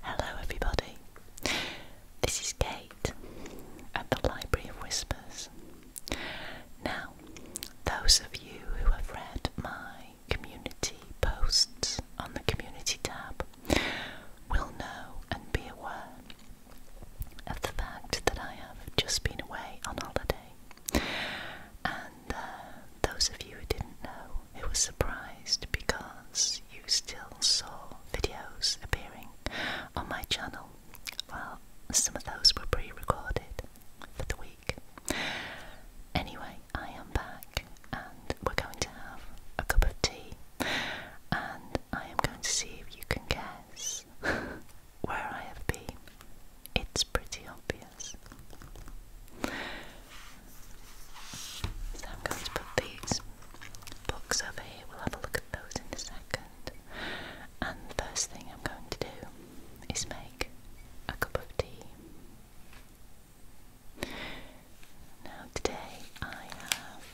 Hello, everybody. This is Kate at the Library of Whispers. Now, those of you who have read my community posts on the community tab will know and be aware of the fact that I have just been away on holiday. Uh, those of you who didn't know, who was surprised because you still saw videos appearing on my channel, well, some of those were pre recorded for the week. Anyway, I am back and we're going to have a cup of tea, and I am going to see if you can guess where I have been. It's pretty obvious. So I'm going to put these books over here. We'll have a look at those in a second. And the first thing I'm going to do is make a cup of tea. Now, today I have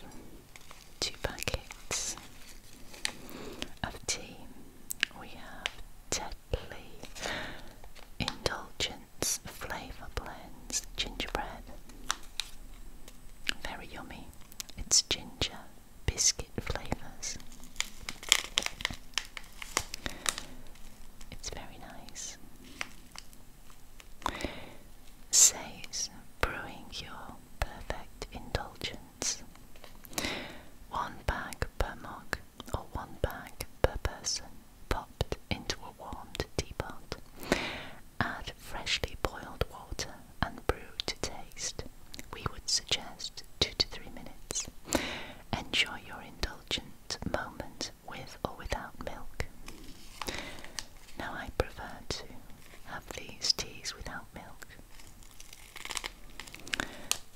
two packets of tea. We have Tetley Indulgent Flavor Blends Gingerbread. Very yummy. It's ginger biscuit flavours. It's very nice. Says brewing your perfect indulgence. One bag per mug or one bag per person popped into a warmed teapot. Add freshly boiled water and brew to taste. We would suggest two to three minutes. Enjoy your indulgent moment with or without milk. Now, I prefer to have these teas without milk.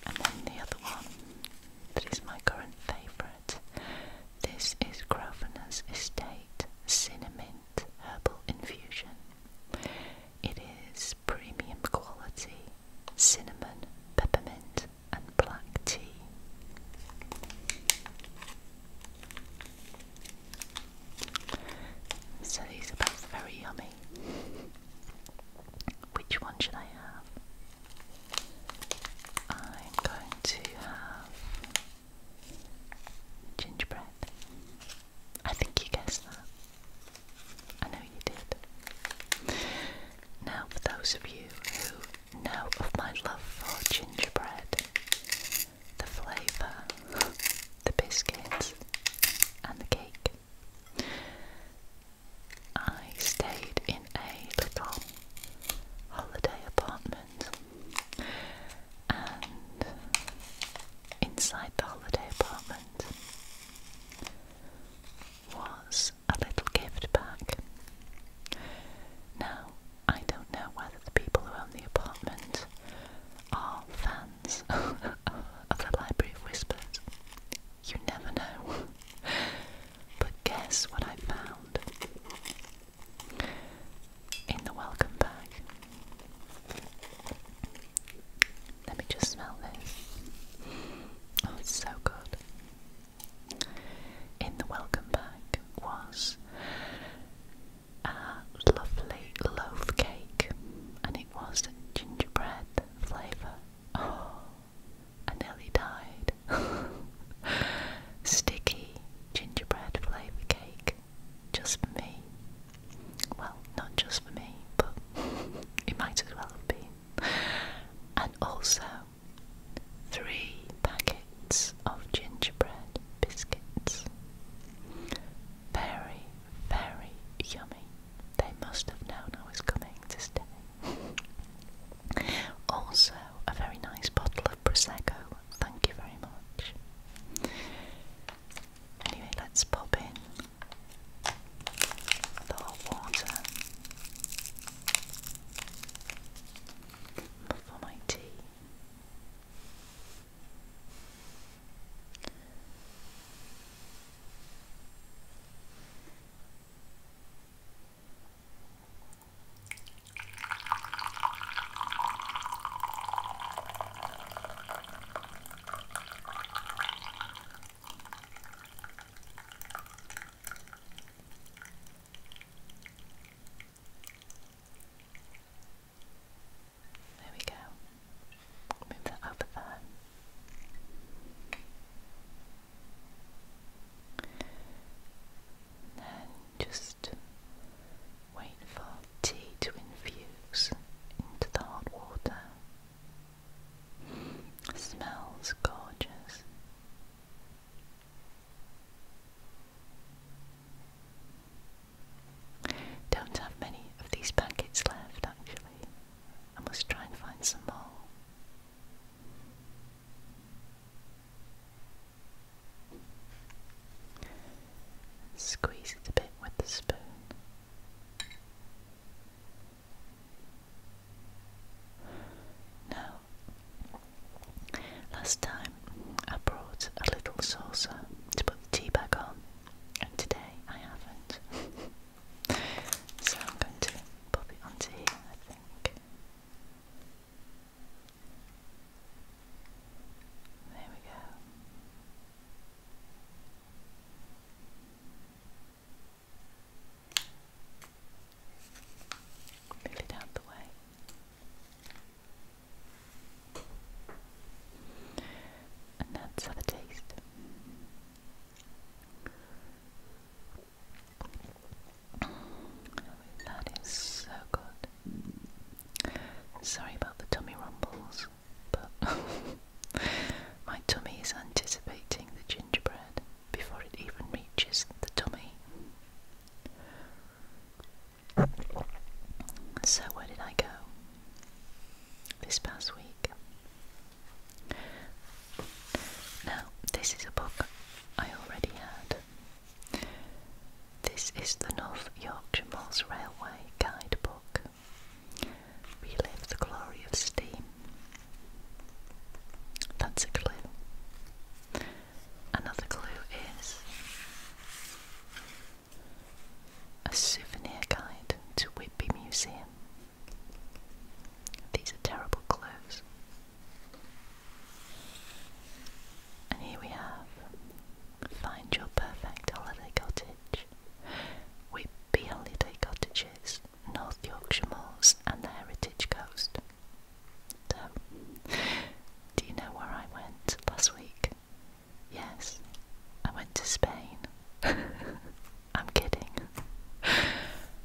And then the other one that is my current favourite. This is Grosvenor's Estate Cinnamon Herbal Infusion. It is premium quality cinnamon, peppermint, and black tea. So these are both very yummy. Which one should I have? I'm going to have gingerbread. I think you guessed that. I know you did. Now, for those of you who know of my love for gingerbread, the flavour, the biscuits, and the cake, I stayed in a little holiday apartment, and inside the holiday apartment was a little gift bag. Now, I don't know whether the people who own the apartment are fans of the Library of Whispers. You never know. But guess what I found in the welcome bag? Let me just smell this. Oh, it's so good. In the welcome bag was a lovely loaf cake, and it was gingerbread flavour. Oh, I nearly died. Sticky gingerbread flavour cake, just for me. Well, not just for me, but it might as well have been. And also, three packets of gingerbread biscuits. Very, very yummy. They must have known I was coming this day. Also, a very nice bottle of Prosecco. Thank you very much. Anyway, let's pop in the water for my tea. There we go. Move that over there then just wait for tea to infuse into the hot water. smells gorgeous. Don't have many of these packets left actually. I must try and find some more. Squeeze it a bit with the spoon. Now, last time I brought a little saucer to put the tea bag on, and today I haven't. so I'm going to pop it onto here, think. There we go. Move it out the way. And let's have a taste. That is so good. Sorry about the tummy rumbles, but my tummy is anticipating the gingerbread before it even reaches the tummy. So, where did I go this past week? Now, this is a book I already had. This is the North Yorkshire Moors Railway Guidebook. Relive the glory of steam. That's a clue. Another clue is a souvenir guide to Whitby Museum. These are terrible clothes. And here we have Find Your Perfect Holiday Cottage. Whitby Holiday Cottages, North Yorkshire Moors, and the Heritage Coast. do you know where I went last week? Yes, I went to Spain. I'm kidding.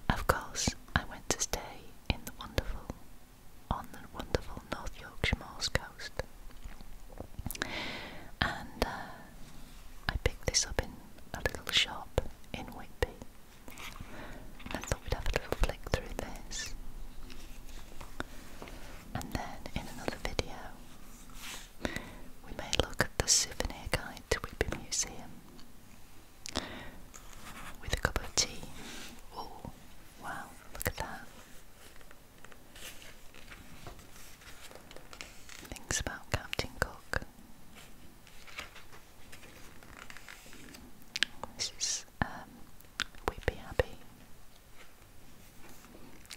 of course, I went to stay in the wonderful, on the wonderful North Yorkshire Moors coast. And uh, I picked this up in a little shop in Whitby. I thought we'd have a little flick through this. And then in another video, we may look at the souvenir guide to Whitby Museum with a cup of tea. Oh, wow, look at that. Things about Captain Cook. This is um, Whippy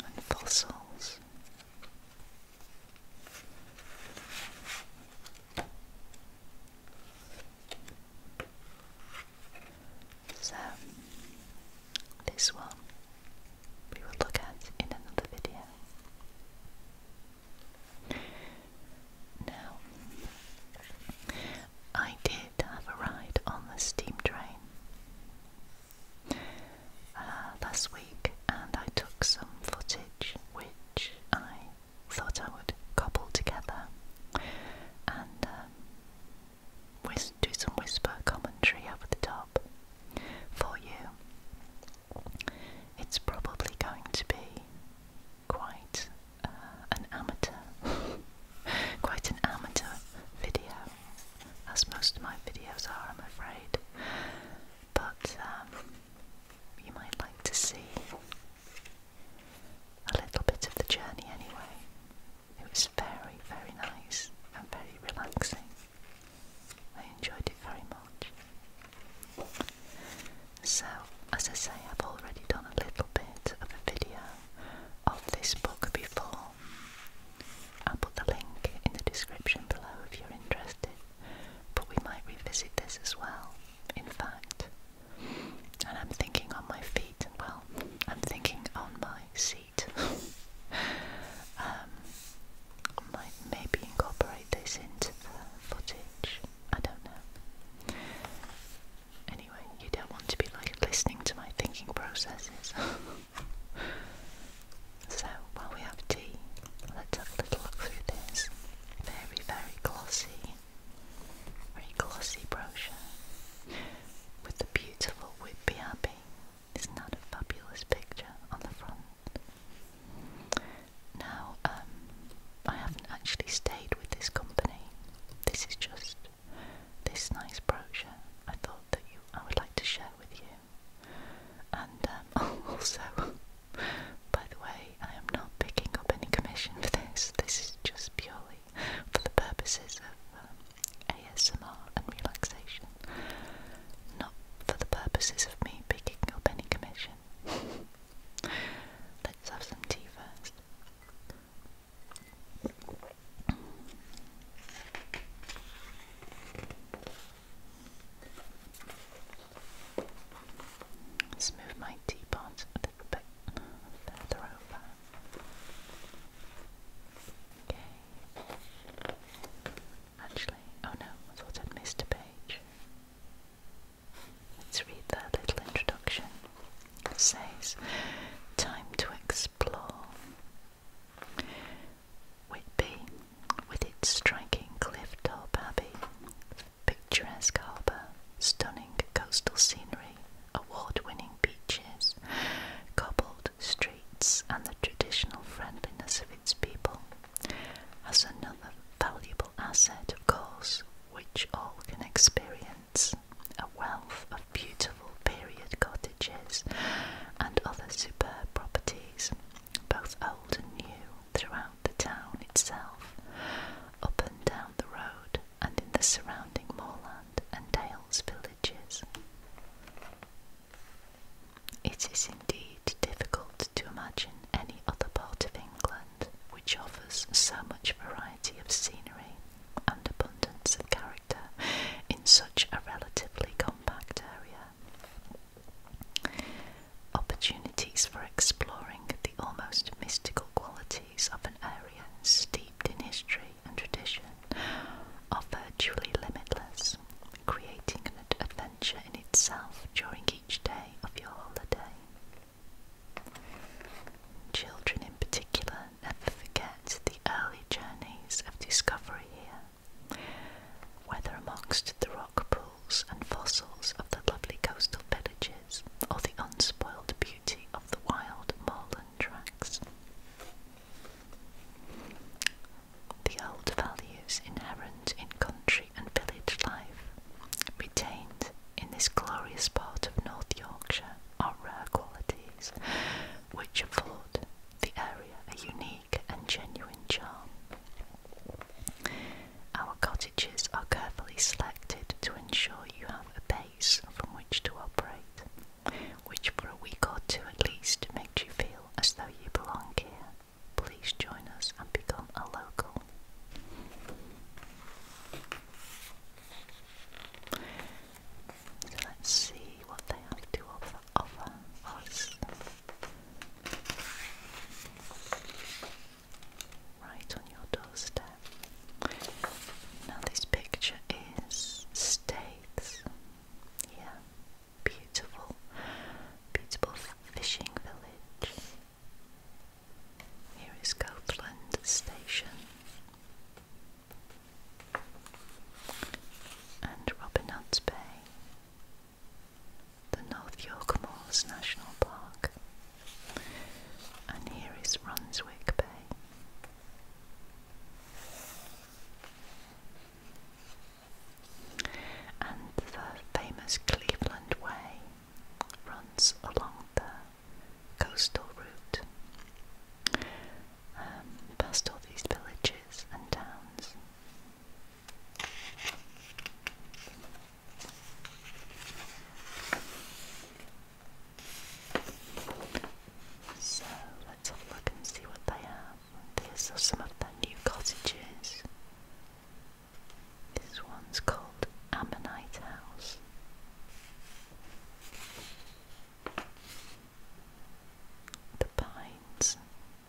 and fossils. So, this one we will look at in another video. Now, I did have a ride on the steam train uh, last week, and I took some footage which I thought I would cobble together and um, do some whisper commentary over the top for you. It's probably going to be quite uh, an amateur, quite an amateur video, as most of my videos are, I'm afraid. But um, you might like to see a little bit of the journey anyway. It was very, very nice and very relaxing. I enjoyed it very much. So, as I say, I've already done a little bit of a video of this book before. I'll put the link in the description below if you're interested but we might revisit this as well, in fact. And I'm thinking on my feet, well, I'm thinking on my seat. Um, might maybe incorporate this into the footage, I don't know. Anyway, you don't want to be like listening to my thinking processes. So while we have tea, let's have a little look through this very, very glossy, very glossy brochure with the beautiful Whitby Abbey. Isn't that a fabulous picture on the front? Now, um, I haven't actually stayed with this company. This is just this nice brochure I thought that you I would like to share with you. And um, also, by the way, I am not picking up any commission for this. This is just purely for the purposes of um, ASMR and relaxation, not for the purposes of me picking up any commission. Let's have some tea first. Let's move my teapot a little bit further over. Okay. Actually, oh no, I thought I'd missed a page. Let's read that little introduction. It says, Time to explore. Whitby, with its striking cliff top abbey, picturesque harbour, stunning coastal scenery, award winning beaches, cobbled streets, and the traditional friendliness of its people, has another valuable asset, of course, which all can experience a wealth of beautiful period cottages and other superb properties, both old and new, throughout the town itself, up and down the road, and in the surrounding moorland and dales villages. It is indeed difficult to imagine any other part of England which offers so much variety of scenery and abundance of character in such a relatively compact area. Opportunities for exploring the almost mystical qualities of an area steeped in history and tradition are virtually limitless, creating an adventure in itself during each day of your holiday. Children, in particular, never forget the early journeys of discovery here. Whether amongst the rock pools and fossils of the lovely coastal villages or the unspoiled beauty of the wild moorland tracks, the old values inherent in country and village life, retained in this glorious part of North Yorkshire, are rare qualities which afford the area a unique and genuine charm. Our cottages are carefully selected to ensure you have a base from which to operate, which for a week or two at least makes you feel as though you belong here. Please join us and become a local. So let's see what they have to offer, us right on your doorstep. Now, this picture is States, yeah, beautiful, beautiful fishing village. Here is Copeland Station. And Robin Hood's Bay the North York Moors National Park, and here is Brunswick Bay. And the famous Cleveland Way runs along the coastal route, um, past all these villages and towns, so let's have a look and see what they have. These are some of their new cottages. This one's called Ammonite House. The Pines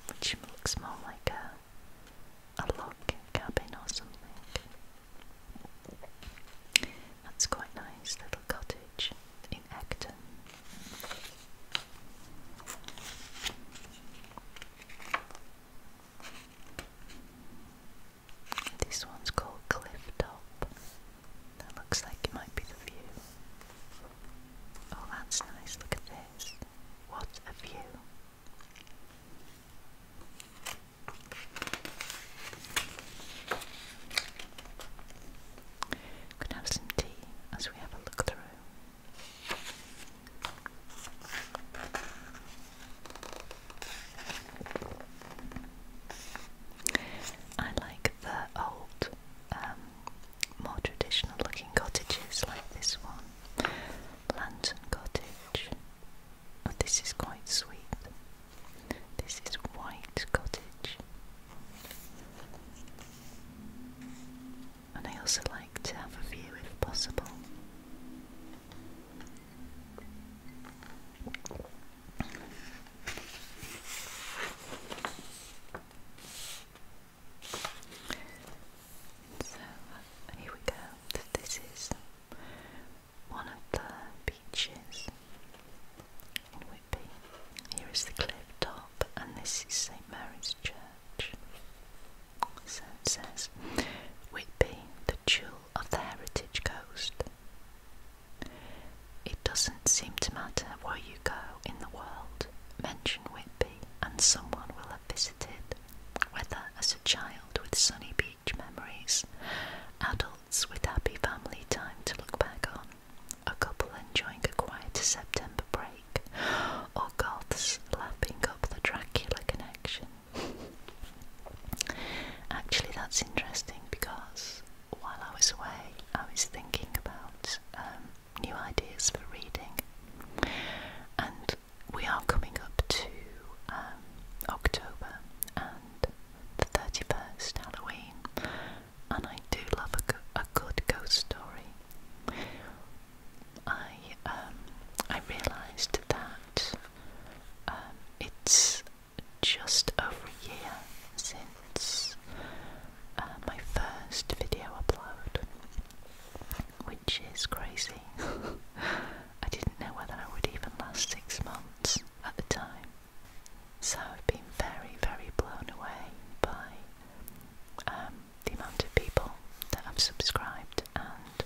which looks more like a, a log cabin or something. That's quite nice little cottage in Acton. This one's called Cliff Top. That looks like it might be the view. Oh, that's nice. Look at this. What a view. Could have some tea as we have a look through. I like the old um, more traditional looking cottages like this one, Lantern Cottage. Oh, this is quite sweet. This is White Cottage. And I also like to have a view if possible. So here we go. This is one of the beaches in Whitby. Here is the cliff top, and this is St Mary's Church. it says Whitby, the jewel of the heritage coast. It doesn't seem to matter where you go in the world, mention Whitby and someone will have visited, whether as a child with sunny beach memories, adults with happy family time to look back on, a couple enjoying a quiet September break, or goths lapping up the Dracula connection. Actually, that's interesting because while I was away, I was thinking about um, new ideas for reading. And we are coming up to um, October and the 31st Halloween, and I do love a, a good ghost story. I um, I realised that um, it's just over a year since uh, my first video upload, which is crazy. I didn't know whether I would even last six months at the time, so I've been very, very blown away by um, the amount of people that have subscribed and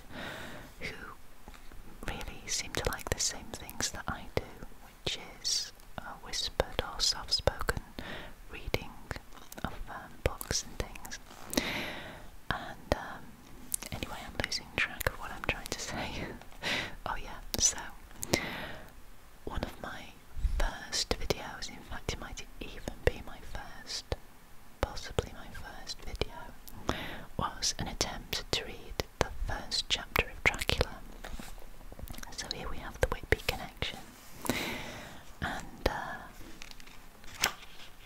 who really seem to like the same things that I do, which is uh, whispered or soft spoken reading of um, books and things. And um, anyway, I'm losing track of what I'm trying to say. oh, yeah, so one of my first videos, in fact, it might even be my first, possibly my first video, was an attempt to read the first chapter of Dracula. So here we have the Whitby connection and uh,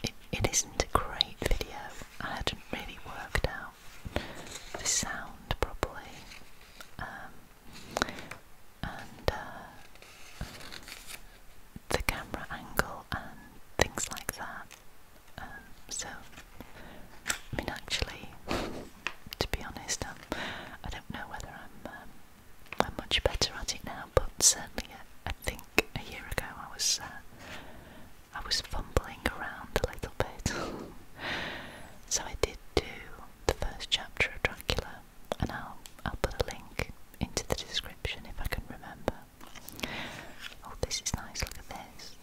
it, it isn't a great video. I hadn't really worked out the sound properly, um, and uh, the camera angle and things like that. Um, so, I mean, actually, to be honest, um, I don't know whether I'm um, I'm much better at it now, but certainly uh, I, think a year ago I was uh, I was fumbling around a little bit. so I did do the first chapter of Dracula, and I'll I'll put a link into the description if I can remember. Oh, this is nice. Look at this.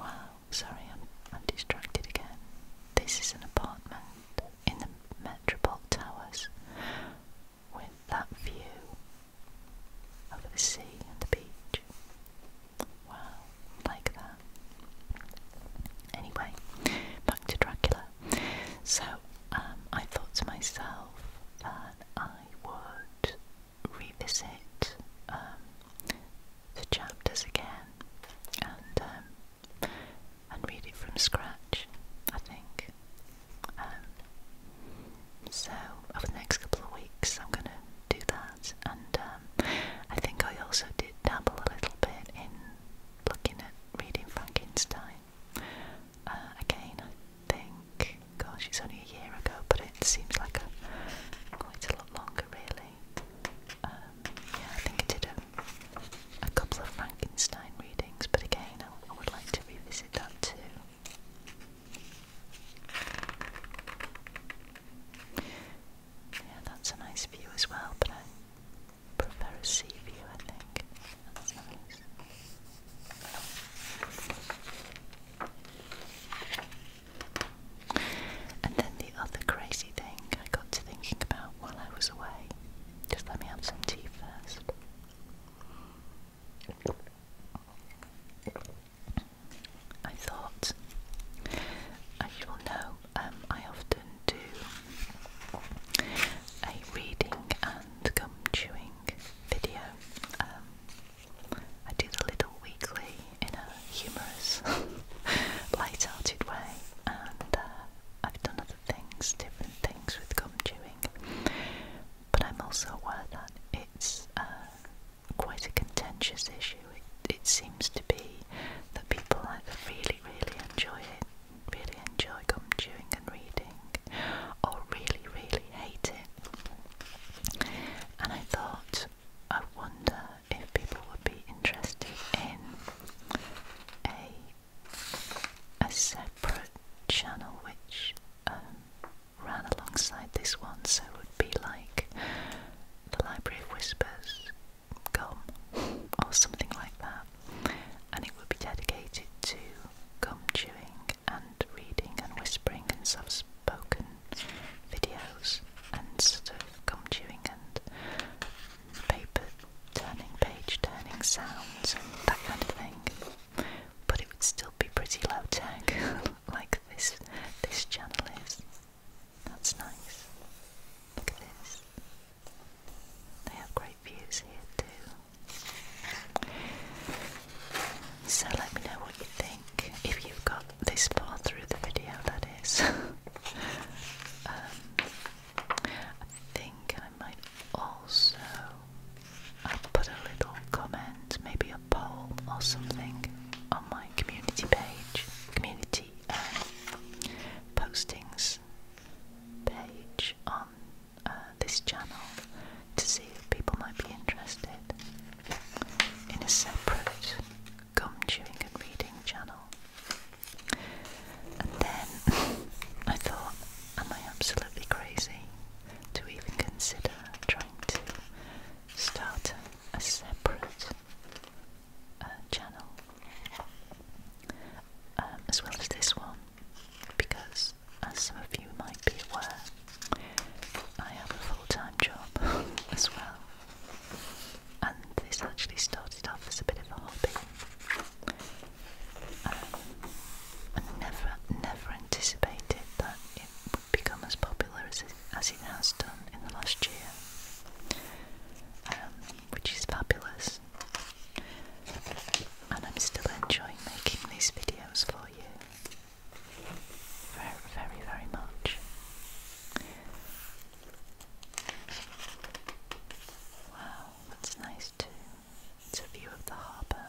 Wow. Sorry, I'm I'm distracted again. This is an apartment in the Metropole Towers with that view over the sea and the beach. Wow, like that. Anyway, back to Dracula. So um, I thought to myself that I would revisit um, the chapters again and um, and read it from scratch, I think. Um, so, over the next couple of weeks, I'm going to do that, and um, I think I also did dabble a little bit in looking at reading Frankenstein. Uh, again, I think, gosh, it's only a year ago, but it seems like a, quite a lot longer, really. Um, yeah, I think I did a a couple of Frankenstein readings, but again, I, would like to revisit that too. Yeah, that's a nice view as well, but I prefer a sea view, I think. And then the other crazy thing I got to thinking about while I was away just let me have some tea first. I thought, as you will know, um, I often do a reading and gum chewing video. Um, I do the little weekly in a humorous, light-hearted way, and uh, I've done things, different things with gum chewing. But I'm also aware that it's uh, quite a contentious issue. It, it seems to be that people either really, really enjoy it, really enjoy gum chewing and reading, or really, really hate it. And I thought, I wonder if people would be interested in a a separate channel which um, ran alongside this one, so it would be like the Library of Whispers Gum or something like that, and it would be dedicated to gum chewing and reading and whispering and soft spoken videos and sort of gum chewing and paper turning, page turning sounds, that kind of thing. But it would still be pretty low tech, like this this channel is. That's nice. Look at this. They have great views here too. So let me know what you think. If you've got this far through the video, that is. Um, I think I might also will uh, put a little comment, maybe a poll or something on my community page, community um, postings page on uh, this channel to see if people might be interested in a separate gum chewing and reading channel. And then I thought, am I absolutely crazy to even consider trying to start a separate uh, channel um, as well as this one? Because, as some of you might be aware, I have a full time job as well and this actually started off as a bit of a hobby. Um, I never, never anticipated that it would become as popular as it, has done in the last year, um, which is fabulous. And I'm still enjoying making these videos for you. Very, very, very much. Wow, that's nice too. It's a view of the harbour.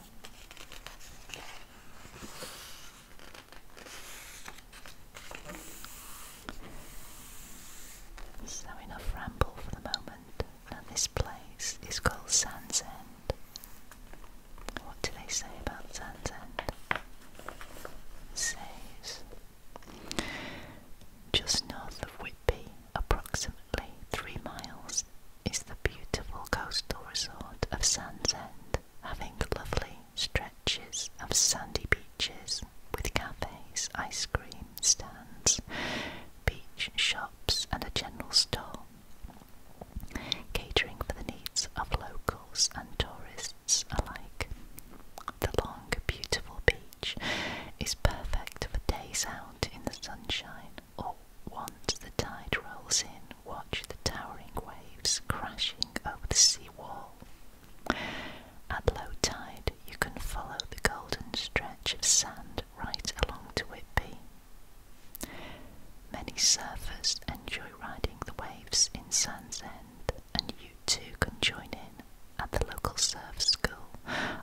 So enough ramble for the moment. Now this place is called Sands What do they say about Sands says just north of Whitby, approximately three miles, is the beautiful coastal resort of Sands having lovely stretches of sandy beaches with cafes, ice cream stands, beach shops, and a general store, catering for the needs of locals and tourists alike. The long, beautiful beach is perfect for days out in the sunshine, or once the tide rolls in, watch the towering waves crashing over the sea wall. At low tide, you can follow the golden stretch of sand right along to Whitby. Many surfers enjoy riding the waves in Sands End, and you too can join in at the local surf school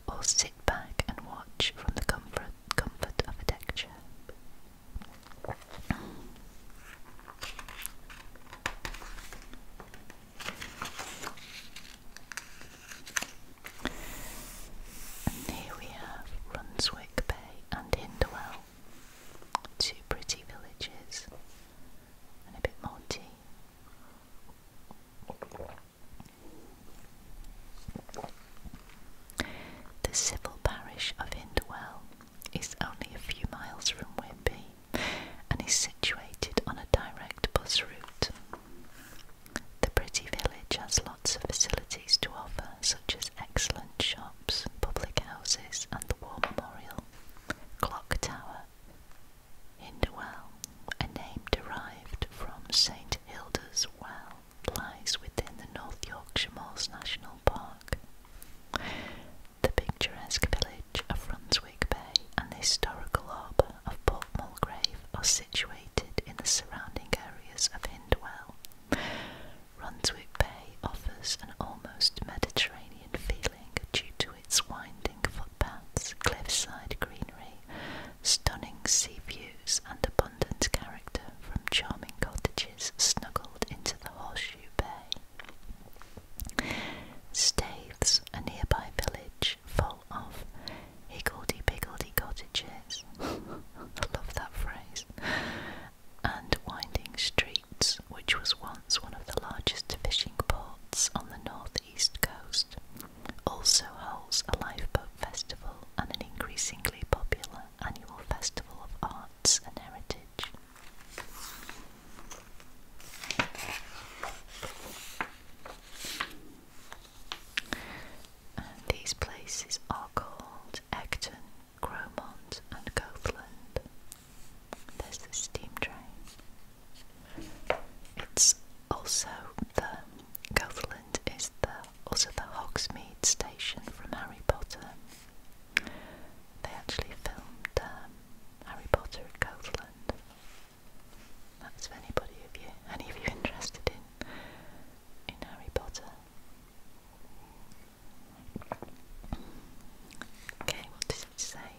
or sit back and watch from the comfort, comfort of a deck chair. And here we have Runswick Bay and Hindwell, two pretty villages, and a bit more tea. The civil parish of Hindwell is only a few miles from Whitby and is situated on a direct bus route. The pretty village has lots of facilities to offer, such as excellent shops, public houses, and the War Memorial, Clock Tower, Hindwell, a name derived from St Hilda's Well, lies within the North Yorkshire Moors National Park. The picturesque village of Brunswick Bay and the historical harbour of Port Mulgrave are situated in the surrounding areas of Hindwell. Brunswick Bay offers an almost Mediterranean feeling due to its winding footpaths, cliffside greenery, stunning sea views, and abundant character from charming cottages snuggled into the Horseshoe Bay. Staithes, a nearby village full of higgledy-piggledy cottages, I love that phrase, and winding streets, which was once one of the largest fishing ports on the north east. East Coast, also holds a lifeboat festival and an increasingly popular annual festival of arts and heritage. these places are called Ecton, Cromont, and Gothland. There's the steam train. It's also the Gotland is the also the Hogsmeade station from Harry Potter. They actually filmed um, Harry Potter at Gotland. That's for anybody of you, any of you interested in in Harry Potter. Okay, what does it say?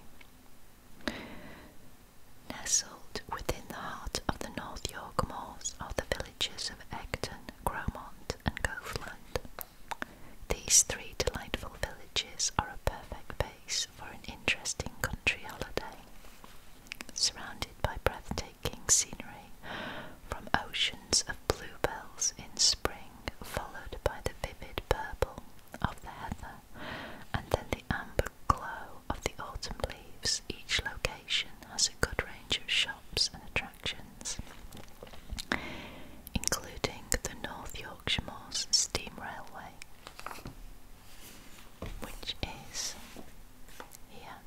Nestled within the heart of the North York Moors are the villages of Egton, Gromont, and Goathland. These three delightful villages are a perfect base for an interesting country holiday. Surrounded by breathtaking scenery from oceans of bluebells in spring, followed by the vivid purple of the heather and then the amber glow of the autumn leaves. Each location has a good range of shops and attractions, including the North Yorkshire Moors Steam Railway, which is here.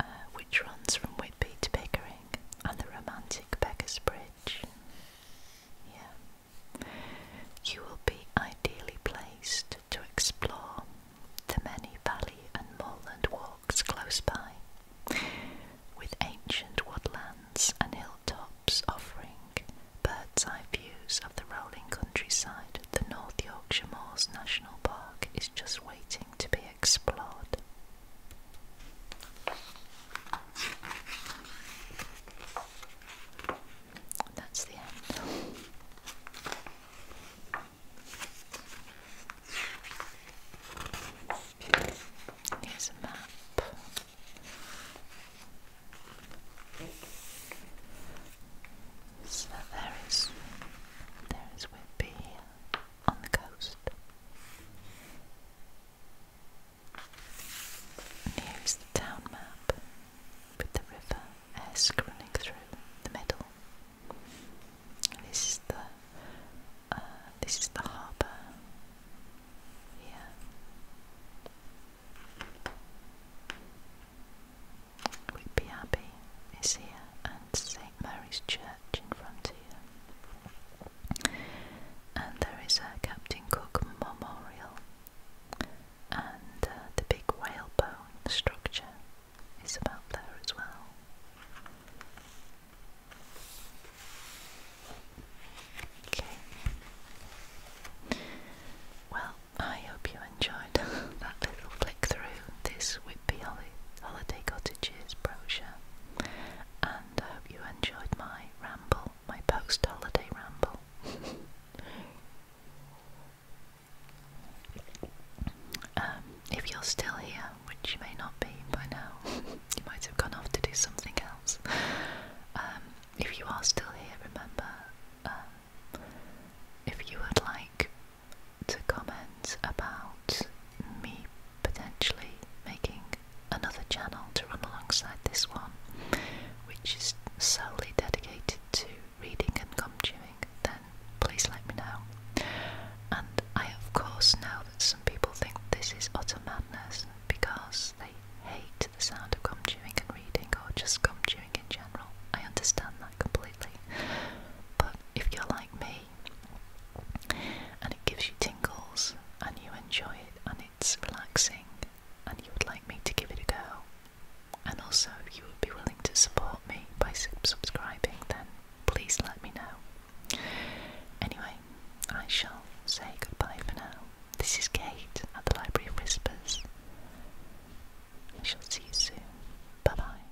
Uh, which runs from Whitby to Pickering, and the romantic Beggars Bridge. Yeah. You will be ideally placed to explore the many valley and moorland walks close by, with ancient woodlands and hilltops offering bird's eye views of the rolling countryside. The North Yorkshire Moors National Park is just waiting to be explored. that's the end. Here's a map. So there is, there is Whitby here on the coast. here's the town map with the river Esk running through the middle. This is the uh, this is the harbour here. Whitby Abbey is here St Mary's Church in front here, And there is a uh, Captain Cook Memorial, and uh, the big whalebone structure is about there as well. Okay. Well, I hope you enjoyed that little flick through this Whitby Holiday Cottages brochure and I hope you enjoyed my ramble, my post holiday ramble. Um, if you're still here, which you may not be by now, you might have gone off to do something else. Um, if you are still here, remember um, if you would like to comment about me potentially making another channel to run alongside this one, which is solely dedicated to reading and gum chewing, then please let me know. And I, of course, know that some people think this is utter madness because they hate the sound of gum chewing and reading, or just gum chewing in general. I understand that completely. But if you're like me and it gives you tingles and you enjoy it and it's relaxing and you would like me to give it a go and also if you would be willing to support me by subscribing then please let me know anyway i shall say goodbye for now this is kate at the library of whispers i shall see you soon bye bye